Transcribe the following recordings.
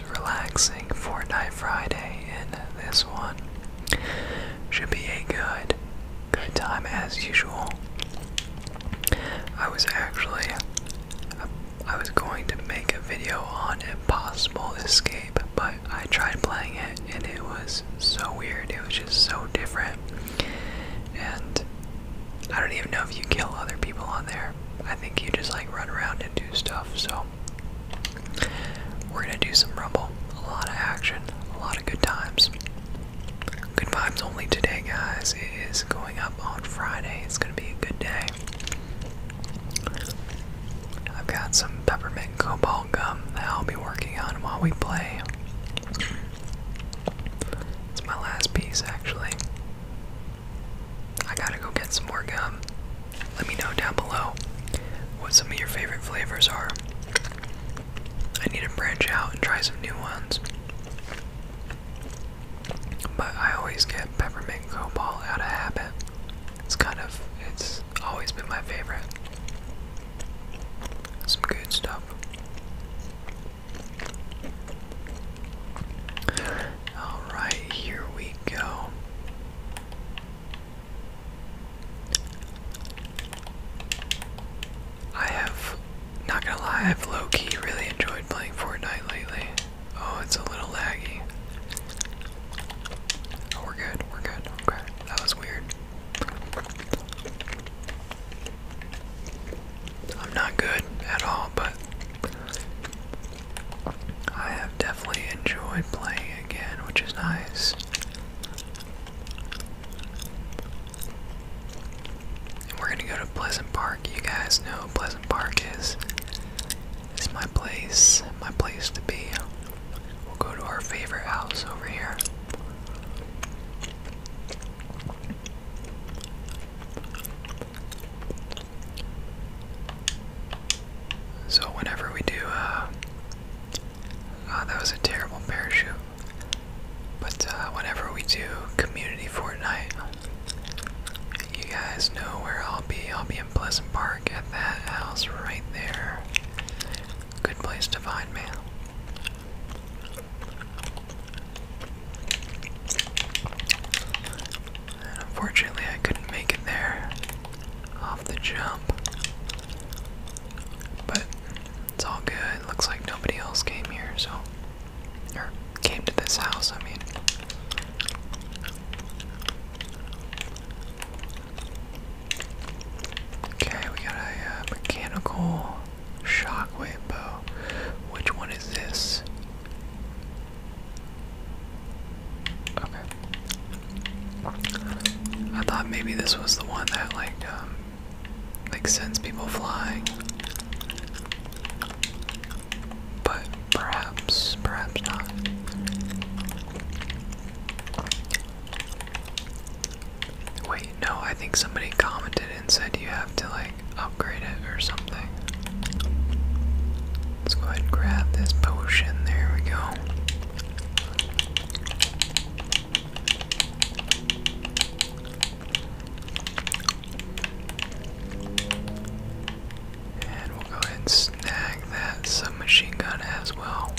relaxing Fortnite Friday in this one. Should be a good, good time as usual. I was actually, I was going to make a video on Impossible Escape, but I tried playing it and it was so weird. It was just so different. And I don't even know if you kill other people on there. I think you just like run around and do stuff, so we're gonna do some rumble. A lot of action, a lot of good times. Good vibes only today, guys. It is going up on Friday. It's gonna be a good day. I've got some peppermint cobalt gum that I'll be working on while we play. It's my last piece, actually. I gotta go get some more gum. Let me know down below what some of your favorite flavors are. I need to branch out and try some new ones. But I always get peppermint cobalt out of habit. It's kind of, it's always been my favorite. Some good stuff. Alright, here we go. I have, not gonna lie, I've low key really enjoyed playing Fortnite lately. Oh, it's a little laggy. Oh, we're good, we're good. Okay, that was weird. I'm not good at all, but I have definitely enjoyed playing again, which is nice. we're gonna go to Pleasant Park. You guys know Pleasant Park is it's my place, my place to be. We'll go to our favorite house over here. So whenever we do, uh, uh, that was a terrible parachute. But uh, whenever we do community Fortnite, you guys know where I'll be. I'll be in Pleasant Park at that house right there. Good place to find me unfortunately, I couldn't make it there off the jump. But it's all good. Looks like nobody else came here, so. Or came to this house, I mean. Okay, we got a uh, mechanical shockwave bow. Which one is this? Okay. I thought maybe this was the one that like um like sends people flying. But perhaps perhaps not. Wait, no, I think somebody commented and said you have to like upgrade it or something. Let's go ahead and grab this potion. There we go. And we'll go ahead and snag that submachine gun as well.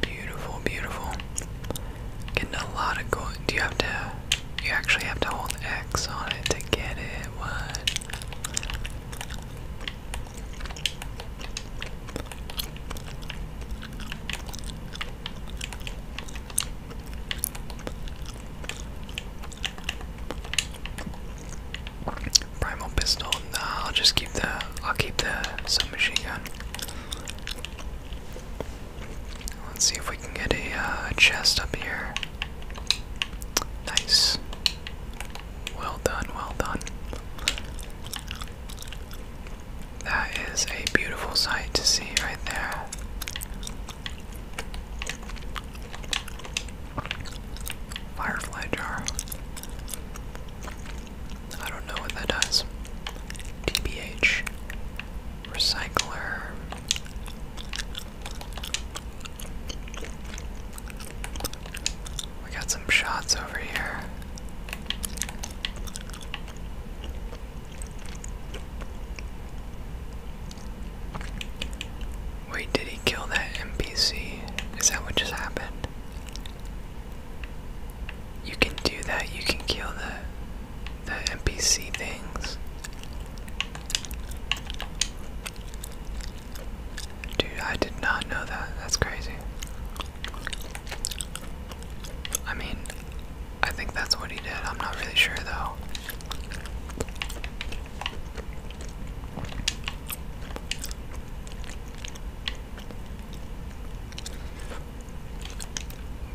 Beautiful, beautiful. Getting a lot of gold. Do you have to? You actually have to hold X on it to get it. What? Primal pistol. Nah, I'll just keep the. I'll keep the submachine gun. Let's see if we can get a uh, chest up here. Nice. Well done. Well done. That is a beautiful sight to see right there. Firefly jar. I don't know what that does. DBH. Recycler. We got some shots over here. Wait, did he kill that NPC? Is that what just happened? you can do that. You can kill the the NPC things. Dude, I did not know that. That's crazy. I mean, I think that's what he did. I'm not really sure though.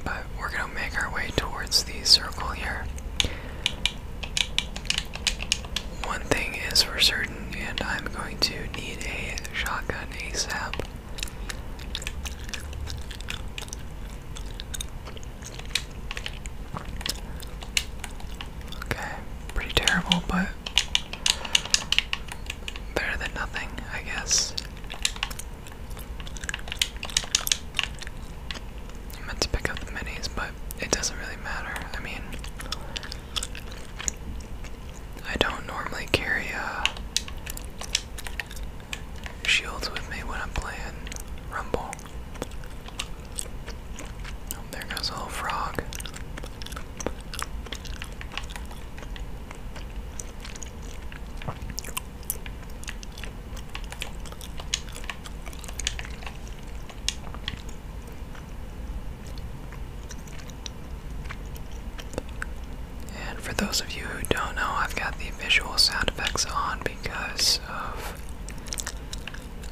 But we're gonna make our way towards the circle here. One thing is for certain, and I'm going to need a shotgun ASAP. Okay, pretty terrible, but better than nothing, I guess. I meant to pick up the minis, but it doesn't really matter. I mean, I don't normally carry uh, shields with me when I'm playing Rumble there goes a little frog. And for those of you who don't know, I've got the visual sound effects on because of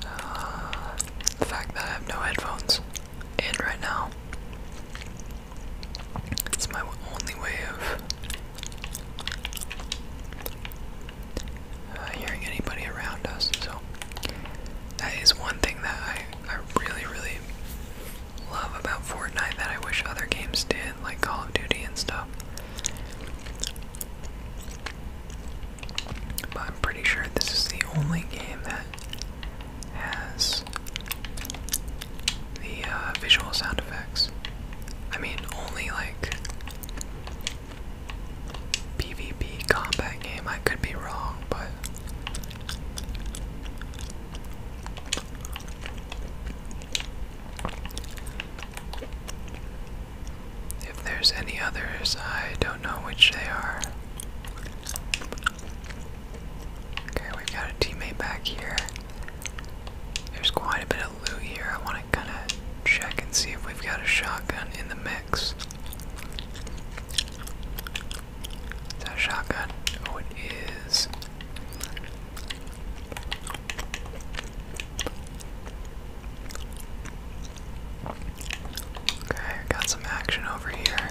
uh, the fact that I have no headphones. And right now. It's my only way of uh, hearing anybody around us. So that is one thing that I I really really love about Fortnite that I wish other games did, like Call of Duty and stuff. But I'm pretty sure this is the only game that has the uh, visual sound effects. I mean, only like PvP combat game. I could be wrong, but. If there's any others, I don't know which they are. Okay, we've got a teammate back here. There's quite a bit of loot here. I want to kind of check and see if we've got a shotgun in the mix. Is that a shotgun? Oh, it is. Okay, got some action over here.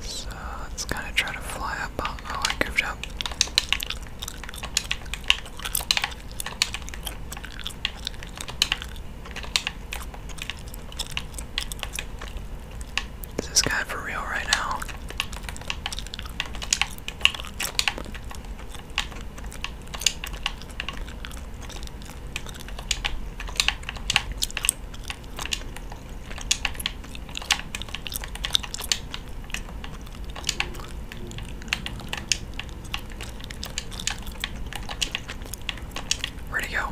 So let's kind of try to fly up. Oh, I goofed up. Is this guy for real right now? Where'd go?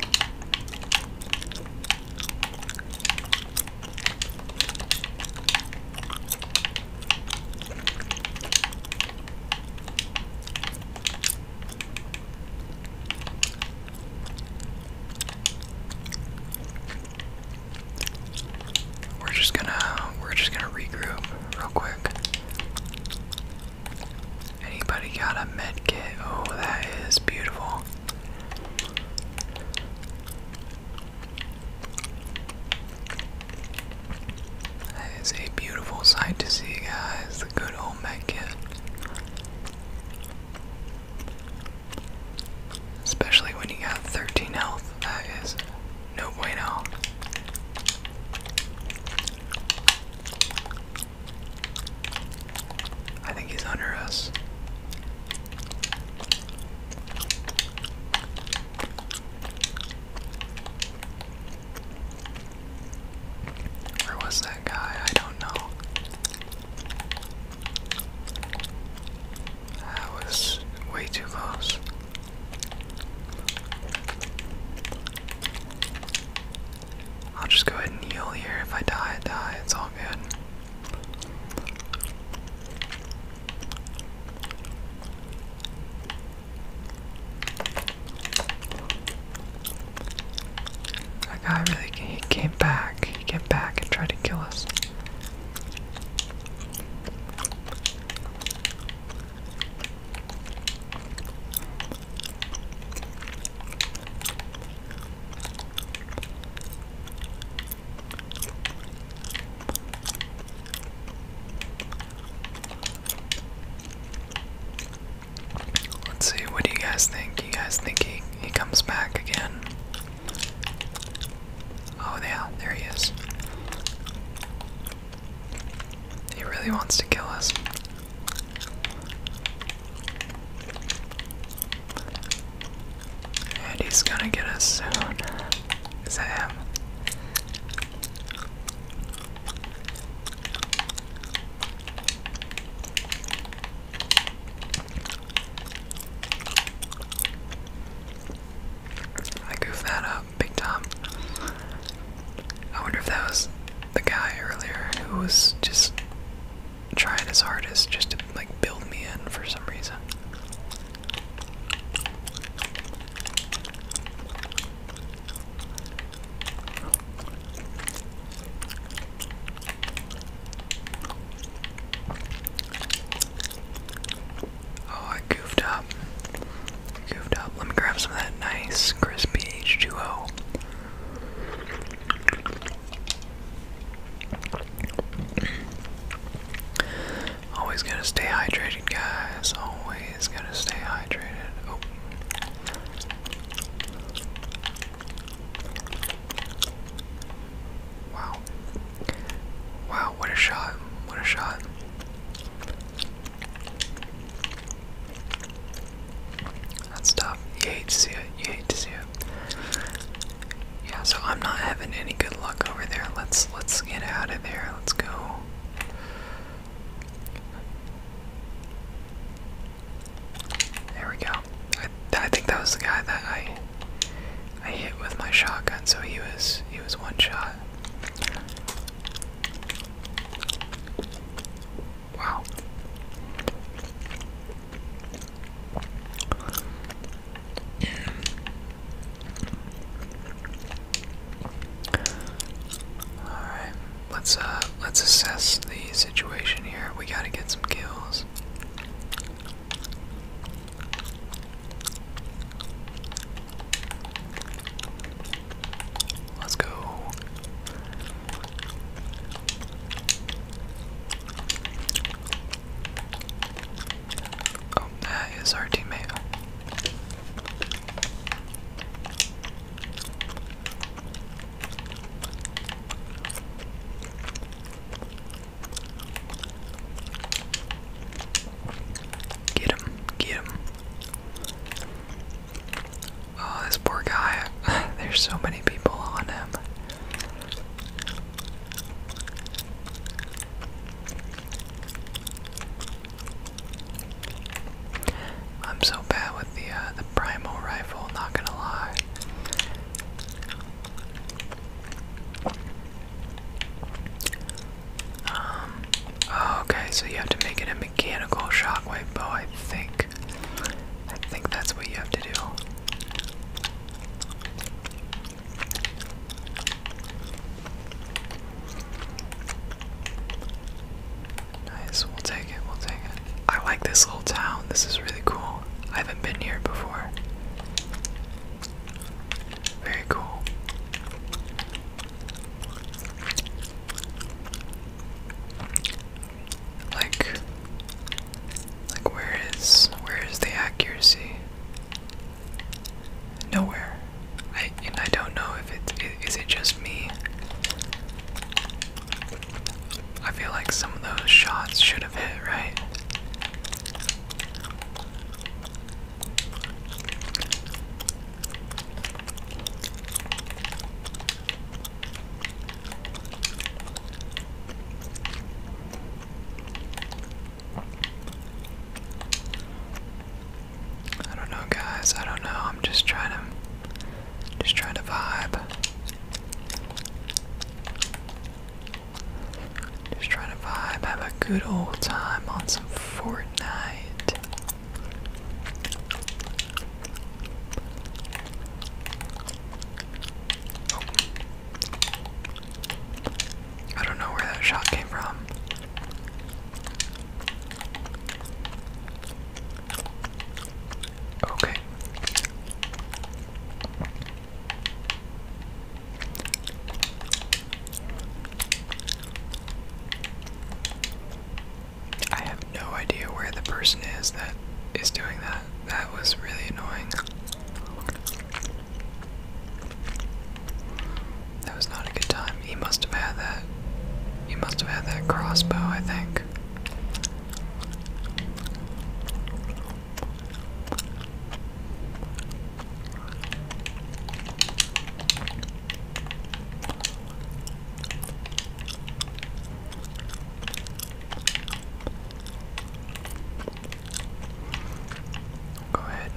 We're just gonna we're just gonna regroup real quick. Anybody got a med kit? Oh, that is beautiful. That is a beautiful sight to see, guys. The good old Metcalf. Especially when you got 13 health. That is no bueno. I think he's under us. Where was that guy? I don't know. That was way too close. I'll just go ahead and heal here. If I die, die. It's all good. That guy really he came back. He came back and tried to kill us. Let's see, what do you guys think? You guys think he, he comes back again? Oh, yeah, there he is. He really wants to kill us. And he's gonna get us soon. Is that him? I goofed that up big time. I wonder if that was the guy earlier who was just tried his hardest just to like build me in for some reason. Oh, I goofed up. goofed up. Let me grab some of that nice crispy H2O. Always going to stay hydrated, guys. Always going to stay hydrated. Oh. Wow. Wow, what a shot. What a shot. Stop! You hate to see it. You hate to see it. Yeah, so I'm not having any good luck over there. Let's let's get out of there. Let's go. There we go. I I think that was the guy that I I hit with my shotgun, so he was he was one shot. Wow. All right, let's uh let's assess the situation here. We gotta get some kills. Let's go Oh, that is our teammate. Get him, get him. Oh, this poor guy. There's so many people on him. I'm so bad with the uh, the primal rifle, not gonna lie. Um, oh, okay, so you have to make it a mechanical shockwave bow, I think. I think that's what you have to do. Nice, we'll take it, we'll take it. I like this little town, this is really cool. I haven't been here before. Very cool like like where is where is the accuracy? Nowhere. I and I don't know if it is it just me. I feel like some of those shots should have hit, right? I don't know guys, I don't know. I'm just trying to just trying to vibe. Just trying to vibe, have a good old time on some Fortnite. I don't know where that shot came from. Okay. I have no idea where the person is that is doing that. That was really annoying. That was not a good time. He must have had that. He must have had that crossbow, I think. Go ahead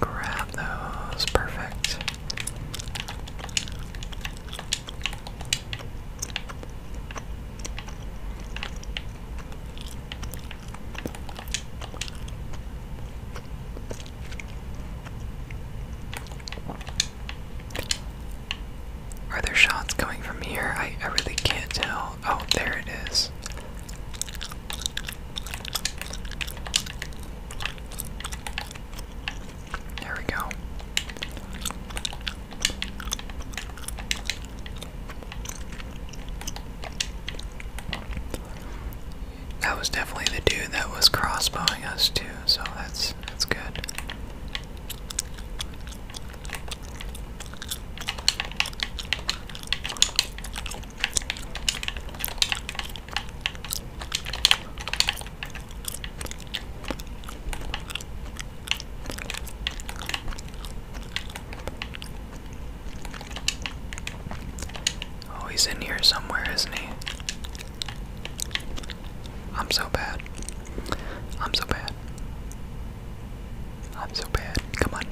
grab those. Perfect. Are there shots coming from here? I, I really can't tell. Oh, there it is. There we go. That was definitely the dude that was crossbowing us too, so that's that's good. Oh, he's in here somewhere, isn't he? I'm so bad. I'm so bad. I'm so bad. Come on.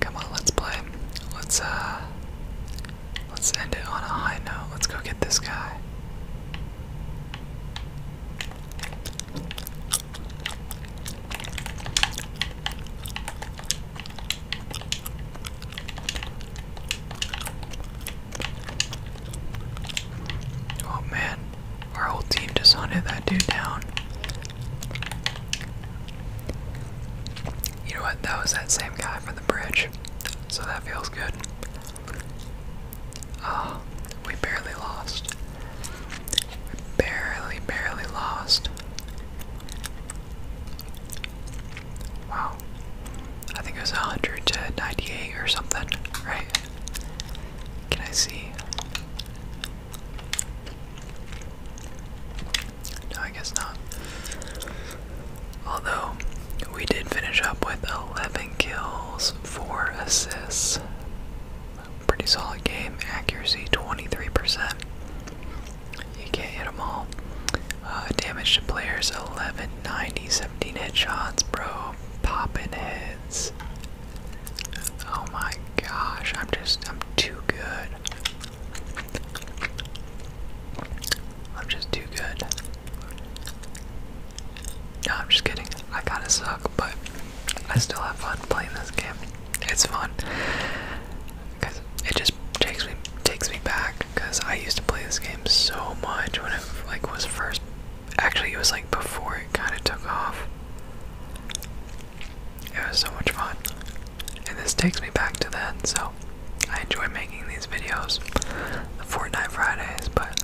Come on, let's play. Let's uh let's end it on a high note. Let's go get this guy. Oh man, our whole team just hunted that dude down. You know what? That was that same guy from the bridge, so that feels good. Ah, we barely lost. barely, barely lost. Wow. I think it was 100 to 98 or something, right? Can I see? No, I guess not. Although, we did finish up with 11 kills, 4 assists. Pretty solid game. Accuracy 23%. You can't hit them all. Uh, damage to players 11, 90, 17 headshots, bro. Popping heads. Oh my gosh, I'm just, I'm too good. I'm just too good. No, I'm just kidding. I kinda suck, but I still have fun playing this game. It's fun because it just takes me takes me back. Because I used to play this game so much when it like was first. Actually, it was like before it kind of took off. It was so much fun, and this takes me back to that. So I enjoy making these videos, the Fortnite Fridays, but.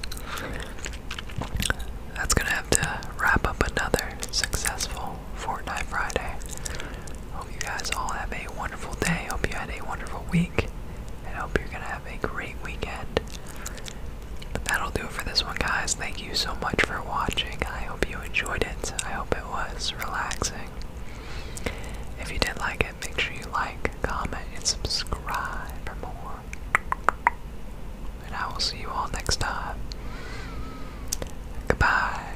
That's gonna have to wrap up another successful Fortnite Friday. Hope you guys all have a wonderful day. Hope you had a wonderful week. And hope you're going to have a great weekend. But that'll do it for this one, guys. Thank you so much for watching. I hope you enjoyed it. I hope it was relaxing. If you did like it, make sure you like, comment, and subscribe for more. And I will see you all next time. Goodbye.